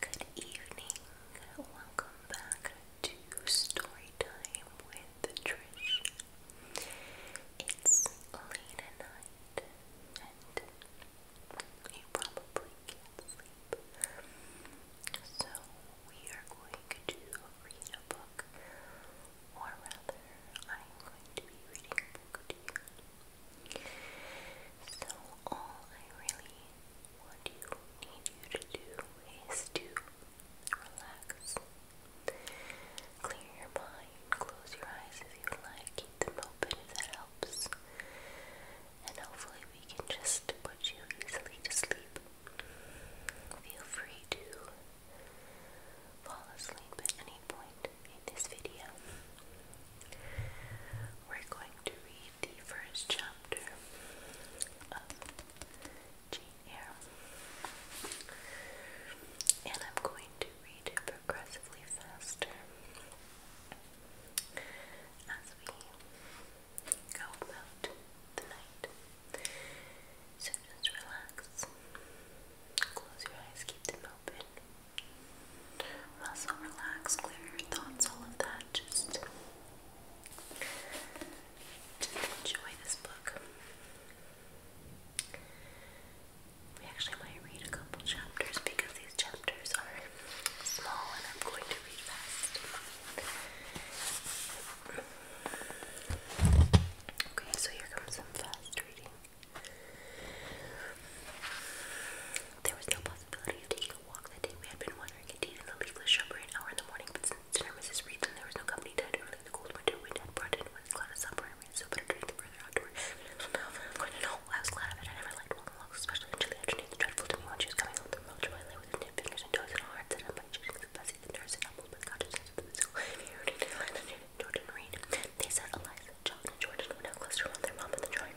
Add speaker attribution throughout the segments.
Speaker 1: Good evening. Welcome back to Story Time with Trish. It's late at night and you probably can't sleep. So we are going to read a book, or rather, I'm going to be reading a book to you. So all I really want you, need you to do is to relax. Clear your mind, close your eyes if you like, keep them open if that helps. And hopefully we can just put you easily to sleep. Feel free to fall asleep at any point in this video. We're going to read the first chapter of Jane Eyre. And I'm going to read it progressively faster as we go about the night. So just relax, close your eyes, keep them open. Muscle relax, clear your thoughts, all of that. Just, just enjoy this book. We actually might read a couple chapters because these chapters are small and I'm going to read fast. Okay, so here comes some fast reading. There was no possibility of taking a walk that day. We had been wandering indeed in the leafless shrubbery an hour in the morning, but since dinner Mrs. Reedland, there was no company to early the cold winter wind i was glad of it. I never liked walking especially in chilly afternoons. Dreadful to me when she was coming home the road, I lay with her fingers and toes and a heart set up by chasing the fussy, the nurse, and humbled with consciousness of the physical irritated Jordan Reed. They said Eliza, John, and Jordan would now cluster around their mom in the drawing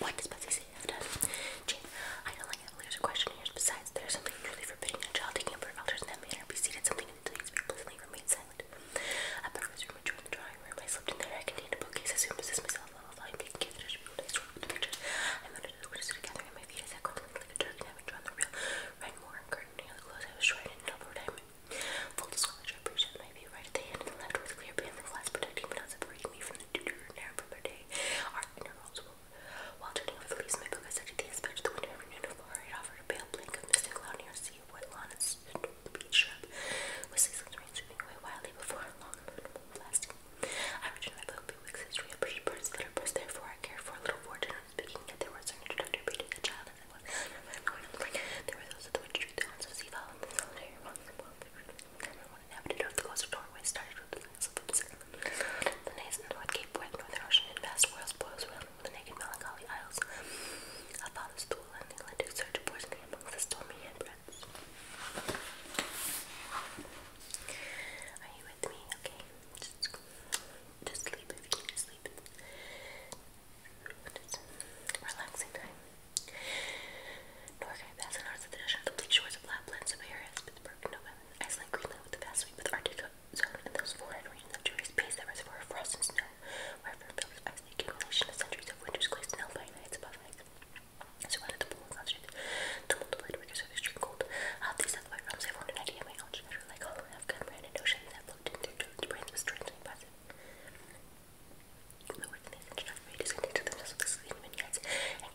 Speaker 1: What does Betsy say have done? I don't like how there's a question here. Besides, there's something truly forbidding a child taking up her elders in that manner. Be seated something until you speak pleasantly. Remain silent. I broke his room and the drawing room. I slipped in there. I contained a bookcase. I soon possessed myself of all volume being kids. I should be able to the pictures. I mounted the window to gathering my feet as I crumbled like a turkey and having drawn the real Renmore and curtain near the clothes I was shrouded in double diamond. Full disclosure, I appreciate my view right at the hand and the left with clear band of glass protecting but not separating me from the duty or narrow from day. Art and her while turning over the leaves, my book, I said to the inspector the window every noon of Laura had offered a pale blink of mist and a sea lawn and the beach shrub, with ceaseless rain sweeping away wildly before long unavoidable blast. I returned my book, Bewick's history of birds, the letter birds, therefore I cared for a little fortune speaking, yet there was an introductory reading a child as I was. There were those of the witch the haunts of Seaval, and the solitary of wild Everyone inhabited of the coastal doorway North Cape, West Northern Ocean, and vast world the naked melancholy isles of Father's and the Atlantic surge poursing amongst the stormy handbreadths. Are you with me? Okay. Just, just sleep if you need sleep. relaxing time. Norway, passing north of the complete shores of Lapland, Siberia, Spitsbergen, Nova, Iceland, Greenland, with the vast sweep of the Arctic zone and those foreign regions of tourist space that reservoir of frost and snow, wherever it fills ice, accumulation of centuries of winters glaciers and alpine above ice. Surrounded the pool and concentrated the multiplied rigors of extreme cold. Out these other realms, I formed an idea of my own, shattered like all Afghan ran and oceans that looked into their brains was strangely impressive. The words in these introductory made is connected themselves with the sleeping vignettes and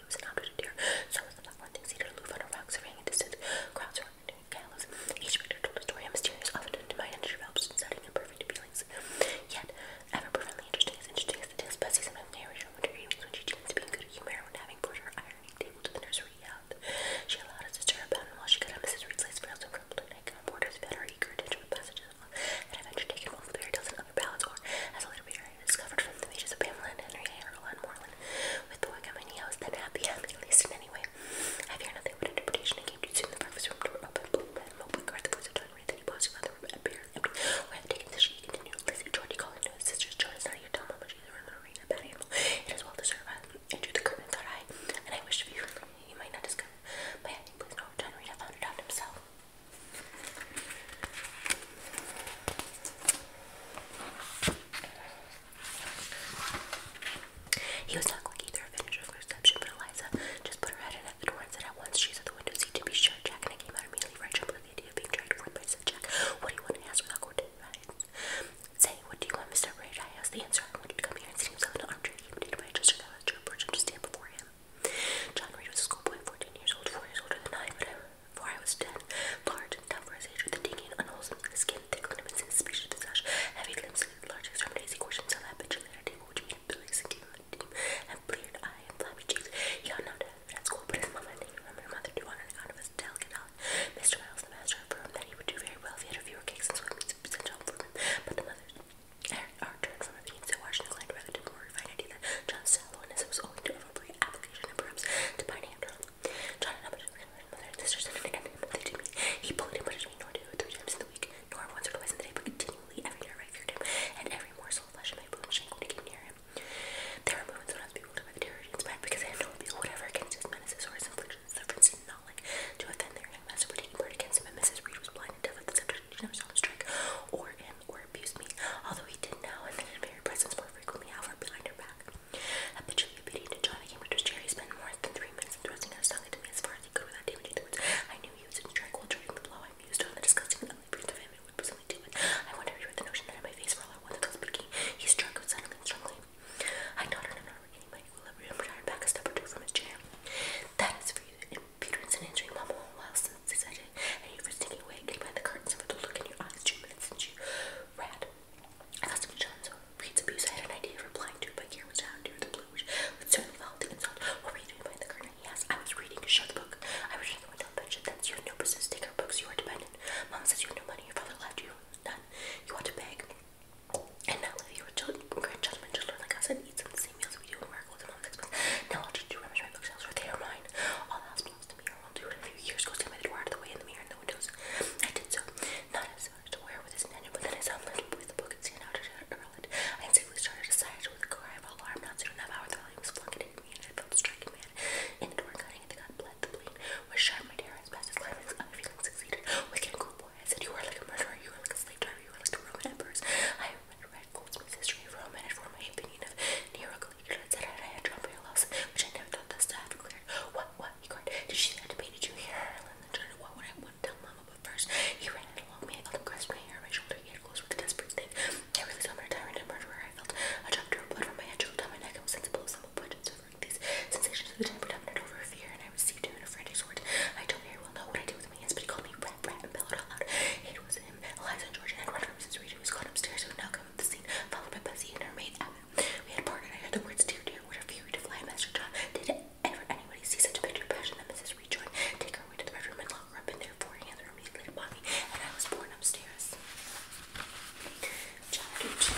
Speaker 1: he was adopted a deer. So was the platform thing cedar aloof on a rock, surveying a distance. Crowds were doing gallows. Each reader told a story, a mysterious, often undemanded develops, setting imperfect feelings. Yet, ever profoundly interesting, as interesting as the tales Bessie sometimes narrated her winter when she chanced to be in good humor when having brought her ironing table to the nursery yelled. She allowed us to stir up and while she cut up Mrs. Reed's lace frills and crumpled her nightgown borders fed our eager attention with passages and adventure taken off the fairy tales and of as a later reader I discovered from the pages of Pamela and Henry A. Earl and Moreland. With the work at my knee, then happy, happy, least in any way. I fear nothing but interpretation. I came to soon the breakfast room door opened, blue red, mobile guard, the voice of John Ray, then the room, appeared empty. Where the taken this, she continued. Lizzie, Georgie called into his sisters. John is not here, tell mama she's in the arena, bad animal. It is well deserved. I drew the curtain, thought I, and I wished for you, you might not discover. My acting, please, no, John Reed, found himself. He was not quick either to finish her but Eliza just put her head in at the door and said at once she's at the window seat to be sure. Jack and I came out immediately right up with the idea of being dragged forth by said Jack. What do you want to ask without court advice? Say, what do you want, Mr. Rage? I asked the answer. I wanted to come here and see himself in an armchair intimidated by a gesture that to stand before him. John Reed was a schoolboy, 14 years old, four years older than I for I was dead, large and tough for his age, with a decaying, unwholesome skin, thick ligaments, and species of flesh, heavy limbs, large extremities, he questioned so that bitch at a table which made Billy sink him and bleared eye and flabby cheeks. He ought not to have been at school, but his mother and he remembered mother do on an account of his delicate health. Mr. Miles, the master, affirmed that he would do very well if he had a fewer cakes and sweetmeats sent home for him, but the mother er, our turn from a being so watching the land relative more refined idea that John Sallow and his was going to every application He bullied him between nor two or three times in the week, nor once or twice in the day, but continually every night I feared him, and every morsel of flesh in my bone shank when he came near him. There were moments when I was bewildered by the terror he inspired, because I had no appeal whatever against his menaces or his inflictions. The friends did not like to offend their young master for taking part against him, and Mrs. Reed was blind and deaf at the subject, and she never or him, or abused me, although he did now and then in very more frequently, however, behind her back. Habitually obedient to John, I came to his chair. spent more than three minutes thrusting his tongue into me as far as he could without damaging the words. I knew he was in tranquil during the blow I mused on the disgusting and ugly breath of him. It would be something I wondered if you had the notion that in my face for all I wanted was speaking. He struck with suddenly and strongly. I nodded and not regaining my equilibrium, but I back a step or from his chair. That is for you Peter isn't answering Mama a while since he said it, and you're sneaking away, getting behind the curtains, and with the look in your eyes, two minutes since you read. I thought some John so Pete's abuse I had an idea of replying to, but here was down near the blue, which would certainly follow the insult. What were you doing behind the curtain? He asked. I was reading. Shut the book. I was reading the window bench. That's you have no business. Take our books. You are dependent. Mom says you have no money. Your father left you none. You want to beg. And now live your children, grandchildren, just learn like us and eat some now I'll just do rummage my bookshelves where they are mine. All the house belongs to me, or I'll do a few years ago, so I made out of the way in the mirror and the windows. I did so, not as hard to wear with his nanny, but then I saw him lift with the book and stand out to earl it. I instinctively started to sigh with a cry of alarm, not soon enough, however, the volume was flung into me, and I felt a striking man in the door cutting at the gut bled. The blade was sharp, my terror has passed its climax, other feelings succeeded. Wicked and cruel boy, I said, you were like a murderer, you were like a slave driver, you were like a Roman emperors. I remember However, Goldsmith's history of Rome had formed my opinion of Nero Caligula and said I had drawn my loss, which I never thought thus to have declared. What, what? He cried. Did she have to pay? Did you hear her? And then turned. What would I want tell Mama? But first, he ran along me. I felt him grasp my hair on my shoulder. He had close with a desperate snake. I really saw my tyrant and murderer. I felt a drop of blood from my head chilled down my neck. I was sensible of some oppression suffering. These sensations of the time over fear, and I received him in a frantic sort. I don't very well know what I do with my but he called me rat, rat, and bellowed out loud. It was him, Eliza, George, and Run from Mrs. Reed, who was caught upstairs, who now the scene, followed by Bessie and her maid Abbott. We had parted. I heard the words dear, dear, what a fury fly, Master John. Did ever anybody see such a picture of passion that Mrs. Reed Take her away to the bedroom and lock her up in there, for hands were immediately upon and I was borne upstairs. John Ducci.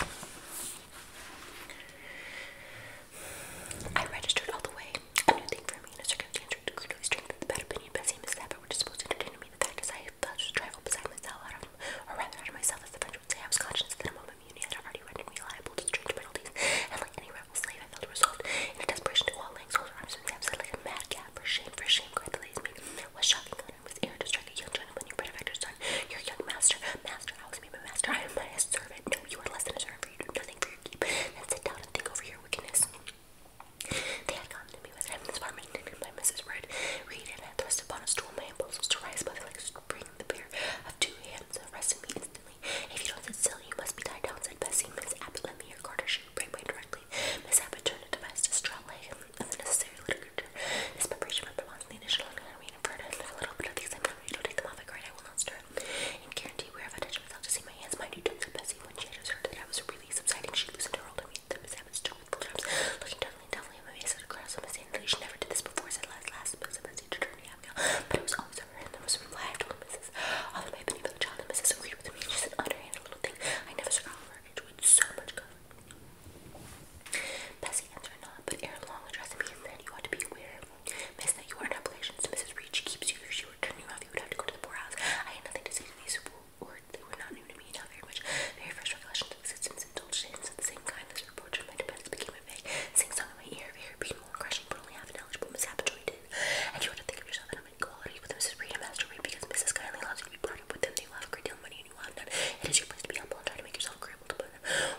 Speaker 1: I registered all the way a new thing for me in a circumstance to crude strength with the bad opinion, but same as that, but which is supposed to determine me. The fact is, I felt just a trifle beside myself, out of, or rather out of myself, as the French would say. I was conscious that a moment immunity had already rendered me liable to strange penalties, and like any rebel slave, I felt resolved in a desperation to all lengths, hold her arms and absent like a mad cat. For shame, for shame, cried the lazy maid. What shocking honor was air to strike a young gentleman, your benefactor's son, your young master. Master, I always be my master. I am but a servant. No, you are less than a servant, for you do nothing for your keep. Then sit down and think over your wickedness. They had to me with him apartment, named by Mrs. Red. Reed and had thrust upon us two my impulses to rise, but the legs bring the pair of two hands arrested me instantly. If you don't sit still, you must be tied down, said Bessie. Miss Abbott lent me your garter. She break away directly. Miss Abbott turned to Bess, distraught leg necessary literature. This preparation represents the initial anatomy and inferno, a little bit of the examination. Don't take them off, I cried. I will not stir. And guarantee where I've attached myself to see my hands. Mind you, don't when she had just heard that I was really subsiding, she loosened her hold and reached them as I with both arms, looking doubly and at my face and across on my sanity. She never did this before, said last last submissy to turn me out But it was always over there was a reply. I told Mrs. Often my penny John and Mrs. agreed with me. She said underhand a little thing. I never saw her enjoyed so much comfort. Bessie answered not, but ere long addressed me and said, You ought to be aware, Miss, that you are in obligations to Mrs. Reed. She keeps you were turning off, you would have to go to the poorhouse. I had nothing to say to these people, or they were not new to me, not very much. Very fresh reflections of existence indulged in of the same kind. This report from my defense became a vague sing-song in my ear, very painful and crushing, but only half an eligible mishap joined in. And you ought to think of yourself in a quality with Mrs. Reed and Master Reed, because Mrs. Kindly allows you to be brought up with them. They will have a great deal of money, and you will have none. It is your place to be humble and try to make yourself agreeable to them.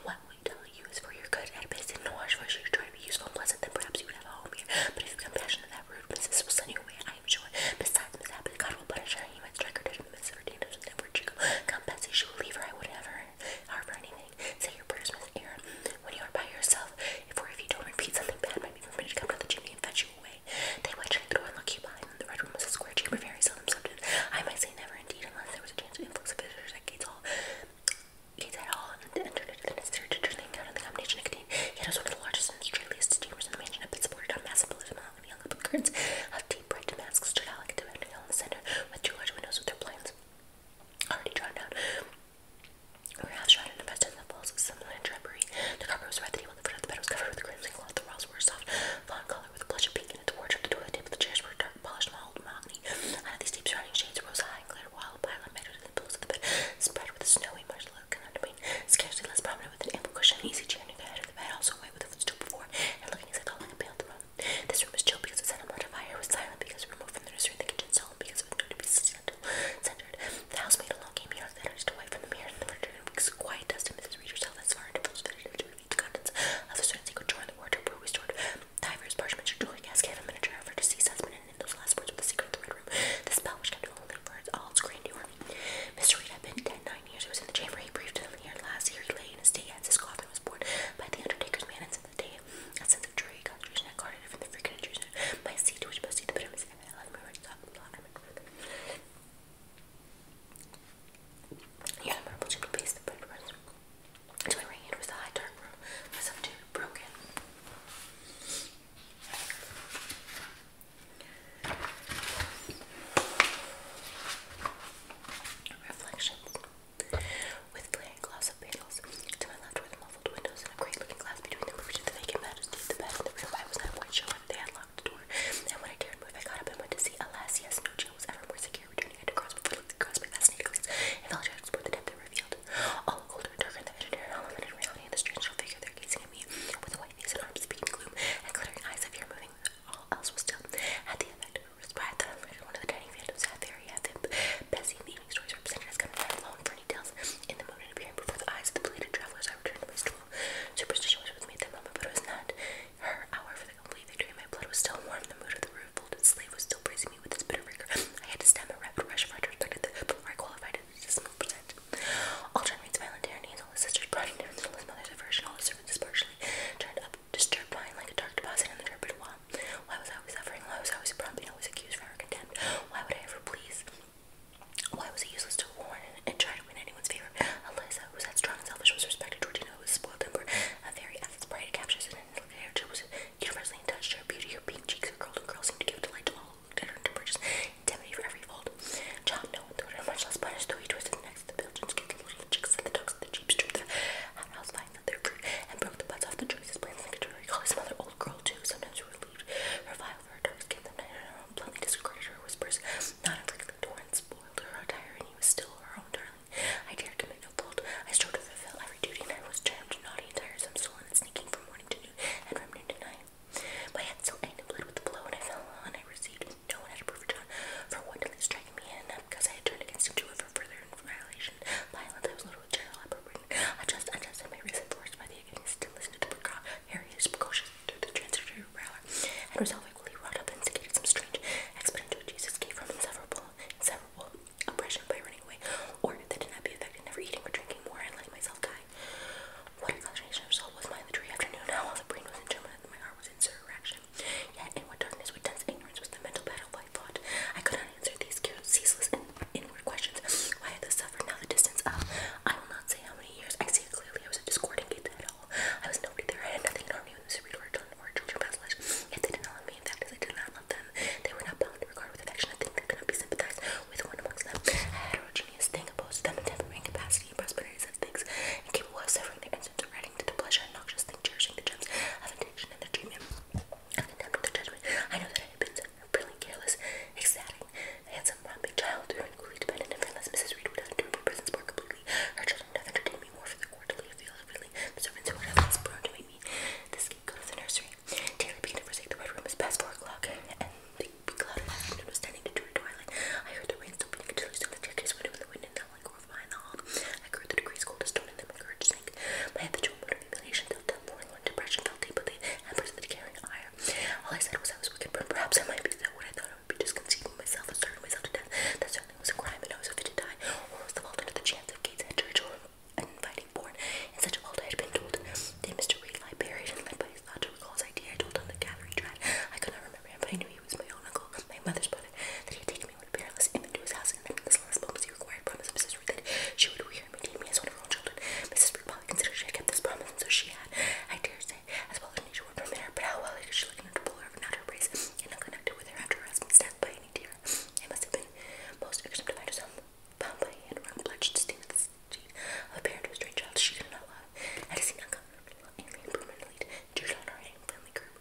Speaker 1: What we tell you is for your good, and best in no wash for your might be useful and pleasant, then perhaps you would have a home here. But if you become passionate that rude, Mrs. will send you away, I am sure. Besides, Miss Abbott, God will punish her. He might strike her dead, Miss Verdina will never go. Come, Betsy, she will leave her. I wouldn't have her, her for anything. Say your prayers, Miss Air. When you are by yourself, if or if you don't repeat something bad, might be permitted to come down the chimney and fetch you away. They went to the door and looked you behind them. The red room was a square chamber, very seldom subdued. I might say never, indeed, unless there was a chance of influx of visitors at Gates Hall eats at all and entered necessary to turn the combination it contained. it was one of the largest and straight-laced steamers in the mansion, but supported on massive pillars of mahogany hung up curtains of deep red damask stood out like a divan in the center, with two large windows with their blinds already drawn down. We have half shot and invested in the falls with some linen drapery. The carpet was red, the table the foot of the bed was covered with crimson cloth, the walls were soft fawn color with a blush of pink, and at the wardrobe, the toilet table, the chairs were dark polished mahogany. And these deep surrounding shades rose high and glittered wall followed by a lametta to the pillows of the bed, spread with a snowy marshmallow and underwing, scarcely less prominent with an ample cushion, easy chair near the head of the bed, also white with a footstool before, and looking as I thought like This room was chill because it sat on a fire, was silent because it removed from the nursery and the kitchen, solemn because it was known to be centered. The house housemaid alone came here, that artist away from the mirror and the furniture, and was quiet dust, and Mrs. Reed herself as far into those fitted to read the contents of the certain secret in the wardrobe where we stored Divers, parchments, your jewelry casket, a miniature of her deceased husband, and in those last words with the secret of the Red Room, the spell which kept only birds, all its grandeur. Mr. Reed had been dead nine years. He was in the chamber he breathed him here last year. He lay in his day as his coffin was borne by the undertaker's man, and since the day, a sense of dreary concentration had guarded from the freaking intrusion. My seat, which must see the bitterness my life, my right top, blah, blah, blah. Yeah, the marble chimney piece, the bread to my right was the high dark room where some dude broke Reflections. With flaring glass of panels. To my left were the muffled windows and a great looking glass between them reached the vacant majesty the bed. The real light was not quite showing. They had locked the door. And when I dared move, I got up and went to see. Alas, yes, no jail was ever more secure. Returning I to cross before I looked across my fascinated glance and fell to explore the depth and reveal all cold darker the visionary element reality of the strange little figure there gazing at me with white face arms speaking gloom and glittering eyes of fear moving. All else was still. Had the effect of a respite that I've one of the tiny phantoms had there. He had the Bessie the evening stories represented as coming down for details in the moon and before the eyes of the belated travelers. I returned to my stool. Superstition was with me at that moment, but it was not her hour for the complete victory. My blood was still warm. The mood of the roof folded sleeve was still breathing with this bit of I had to stem a rapid rush of retrospective before I qualified it as a percent. All John Reed's violent tyranny all his sister's brought down until his mother's aversion, all his servants' partially turned up, disturbed mine like a dark deposit in the turbid wall. Why was I always suffering? Why was I always prompt and always accused for our contempt? Why would I ever please? Why was it useless to warn and, try to win anyone's favor? Eliza, who was that strong and selfish, was respected. Georgina, who was spoiled temper, a very effort's pride to capture and her hair her universally touched her beauty. Her pink cheeks, her curled and curls seemed to give delight to all who looked at her and to purchase indemnity for every fault, John, no one thought her much less punished, though he twisted next necks the pigeons, kicked the chicks and the dogs, and the jeeps, stripped the hot house vines of their fruit, and broke the butts off the trees. His plans linked to her. He called "Some Other old girl, too. Sometimes she relieved her vile for her dark skin, sometimes her own bluntly disregarded her whispers, not infrequently tore and spoiled her attire, and he was still her own darling I dared commit no fault. I strove to fulfill every duty, and I was charmed, naughty and tiresome, stolen and sneaking from morning to noon, and from noon to night. My head still ached and bled with the blow, and I fell on. I received no one had approved John for wantonly striking me, and because I had turned against him to for further violation, violence, I was loaded with general appropriation. I just and my reason forced by the against still listen to the is precocious through the transitory prowler, and resolve equally wrought up and instigated some strange expedient which Jesus gave from inseparable, inseparable oppression by running away, or that did not be affected, never eating or drinking more and letting myself die. What a of soul was mine the dreary afternoon, now all the brain was in turmoil and my heart was in surrection. Yet in what darkness, what dense ignorance was the mental battle I fought. I could not answer these ceaseless inward questions. Why I thus suffered now the distance of, I will not say how many years, I see it clearly, I was a discordant gate at all. I was nobody there, I had nothing in harmony with Mr. Reed or children or children yet they did mean that because I did not love them. They were not bound to regard with affection a thing that could not be sympathized with one amongst them. A heterogeneous thing opposed to them in temperament, capacity, prosperity, such things, incapable of suffering their instance or adding to the pleasure and thing, cherishing the gems of addiction and their treatment and contempt of their judgment. I know that I had been brilliant, careless, ecstatic, handsome, romping child, who and coolly dependent, and friendless Mrs. Reed would have endured my presence more completely. Her children would have entertained me more for the quarterly of the feeling, who would have less prone baby. This kid to the nursery. Taylor began to forsake the red room. past four o'clock, and the big cloud of was standing to turn twilight. I heard the rain stopping and Taylor stood the staircase window with the wind and the like grove behind the hall. I grew the degrees cold as stone and then my courage sank. My habitual mood of humiliation felt down forlorn. Depression felt deep, but the embers of the All I said was I was wicked, but perhaps I might be that what I thought I would be just conceiving myself and starving myself to death. That's something was a crime and I was a to die, or was the fault under the chance of Gates' church or an inviting born, and such a fault I had been told. Then Mr. Reed lie buried and led by his thought to recall his idea I told him the gathering tried. I could not remember him, but I knew he was my own uncle, my mother's brother, that he had taken me when parents him into his house, and then in this last moments he required promise of Mrs. Reed that she would rear and maintain me as one of her own children. Mrs. Reed probably considered she had kept this promise, and so she had, I dare say, as well as nature would permit her, but how well she looked in her to pull her, not her praise, and not connected with her after her husband's death by tiny It must have been most irksome to find yourself, bound by a hand around bloodshed stain of a parent child she did not love, and it seemed uncomfortable and impermanently jeweled on her hand friendly curve.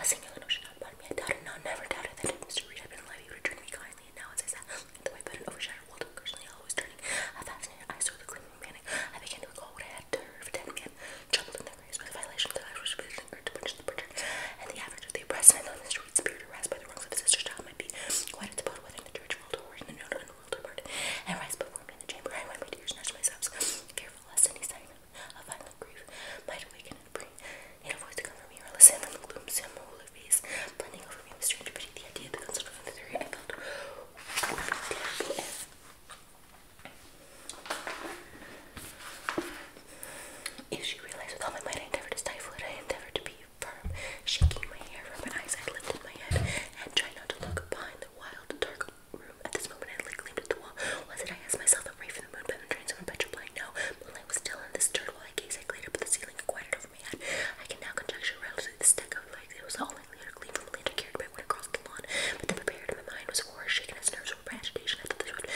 Speaker 1: A singular notion I doubted not, never doubted that Mr. Reed had been alive, he kindly, and now as I sat at the white bed and overshadowed Waldo cursingly always turning, I fascinated eyes saw the glimmering panic. I began to recall what I had to heard ten men, troubled in their there's both violations of the should be to punish the perjurer, and the average of the oppressed on the streets appear to by the wrongs of his sister's child might be quite a devoted the church world or in the known unworld apart, and rise before me in the chamber. I went my tears, snatched myself, fearful lest any sign of violent grief might awaken and bring a voice to come me or listen from the gloom, some holy face blending over me with strange pity. The idea, the concept of the theory I felt would be terrible if if she realized with all my might I endeavored to stifle it, I endeavored to be firm, shaking my hair from my eyes, I lifted my head and tried not to look behind the wild, dark room. At this moment, I leaned at the wall. Was it? I asked myself, I'm ready for the moon penetrating someone petrifying? No, moonlight was still in this dirt while I I glared up the ceiling and over my head. I can now conjecture relatively the stick of light. It was all likely or clean from the land I carried when one across the lawn, but the prepared in my mind was shaking his nerves with agitation. I thought this would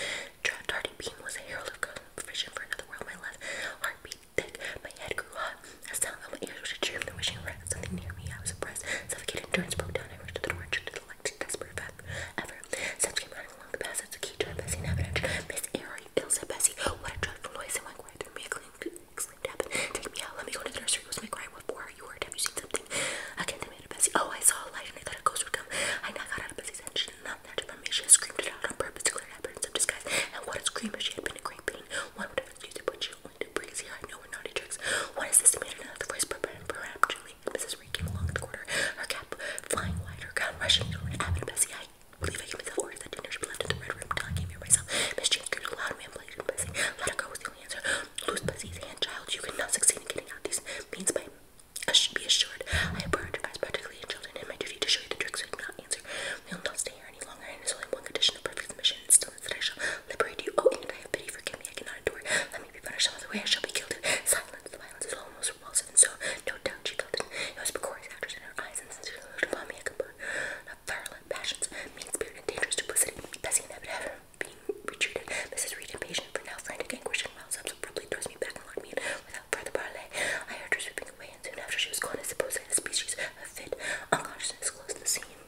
Speaker 1: darting beam was a herald of golden vision for another world. My left heart thick, my head grew hot. A sound filled my ears, which I dreamed, wishing for something near me. I was oppressed, suffocating endurance broke down. I rushed to the door and shook the light, desperate effect. Ever since came running along the passage, the key to Bessie and evidence. Miss Airy, ill said Bessie. What a dreadful noise! It went right through me. exclaimed Heaven. Take me out. Let me go to the nursery. It was my cry. What for? You heard? Have you seen something? I can't Oh, I saw a light and I thought a ghost would come. I got out of Betsy's head. She did not there to from me. She screamed it out on purpose to clear an appearance of disguise. And what a scream if she had been a great pain. One would have excused it, you she only did breeze here. I know we're naughty tricks. What is this? Made another voice peremptorily. Mrs. Reed came along in the corner. her cap flying wide, her gown rushing down and Abbott and Betsy. I believe I gave myself orders that dinner She be left the red room until I came here myself. Miss Jane screamed loud and manipulated Betsy. Let her go was the only answer. Lose Betsy's hand, child. You cannot succeed in getting out these means by I should be assured I abhor guys, practically in children, and my duty to show you the tricks I cannot answer. We will not stay here any longer, and it is only one condition of perfect submission, and still is that I shall liberate you. Oh, and I have pity, forgive me, I cannot endure. Let me be punished some other way, I shall be killed. Silence, the violence is almost repulsive, and so, no doubt, she felt it. It was precarious actors in her eyes, and since she looked upon me, I could burn a violent passions, mean spirit, and dangerous duplicity. Bessie and being retreated. Mrs. Reed, impatient for now, frantic anguish and roused abruptly throws me back and locked me in without further parley. I heard her sweeping away, and soon after she was gone, I suppose in a species of fit unconsciousness closed the scene.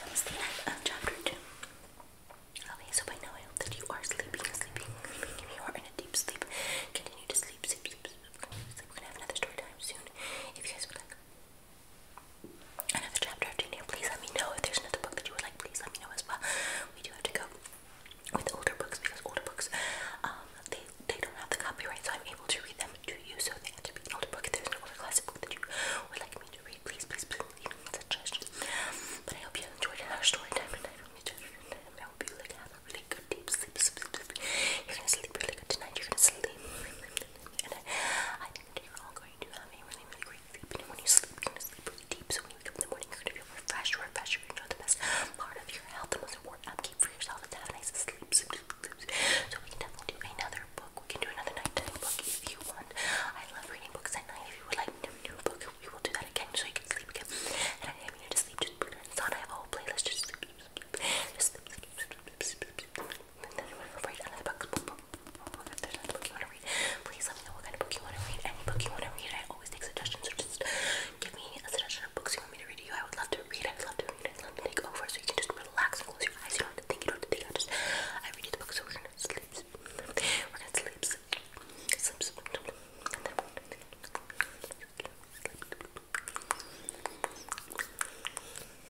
Speaker 1: That was the end of chapter two. Okay, so I hope that you are sleeping, sleeping, sleeping. you are in a deep sleep, continue to sleep, sleep, sleep. sleep. We're gonna have another story time soon. If you guys would like another chapter of Jane please let me know if there's another book that you would like. Please let me know as well. We do have to go with older books because older books, um, they they don't have the copyright, so I'm able to read them to you. So they have an older book. there's an older classic book that you would like me to read, please, please, please leave me suggestions. But I hope you enjoyed our story time tonight I hope you like have a really good deep sleep. You're gonna sleep really good tonight. You're gonna sleep, I, think you're all going to have a really, really great sleep. And when you sleep, you sleep really deep. So when you wake up in the morning, you're going to feel refreshed, refreshed. you part of your health. The most important upkeep for yourself is to have nice sleep, So we can definitely do another book. We can do another nighttime book if you want. I love reading books at night. If you would like to do a book, we will do that again so you can sleep again. And I have you to sleep. Just put on. I have a whole playlist. Just sleep, sleep. And then you want to read another book. If there's another book you want to read, please let me know what kind of book you want to read. Any book you want to read, I always take suggestions. So just give me a suggestion of books you want me to read to you. I would love to read. I would love to read. I'd love to take over so you can just relax and close your eyes. You don't have to think. You don't have to think. I just I read you the book, so we're gonna sleep. We're gonna sleep. Sleep. sleep. And then we're gonna sleep. sleep.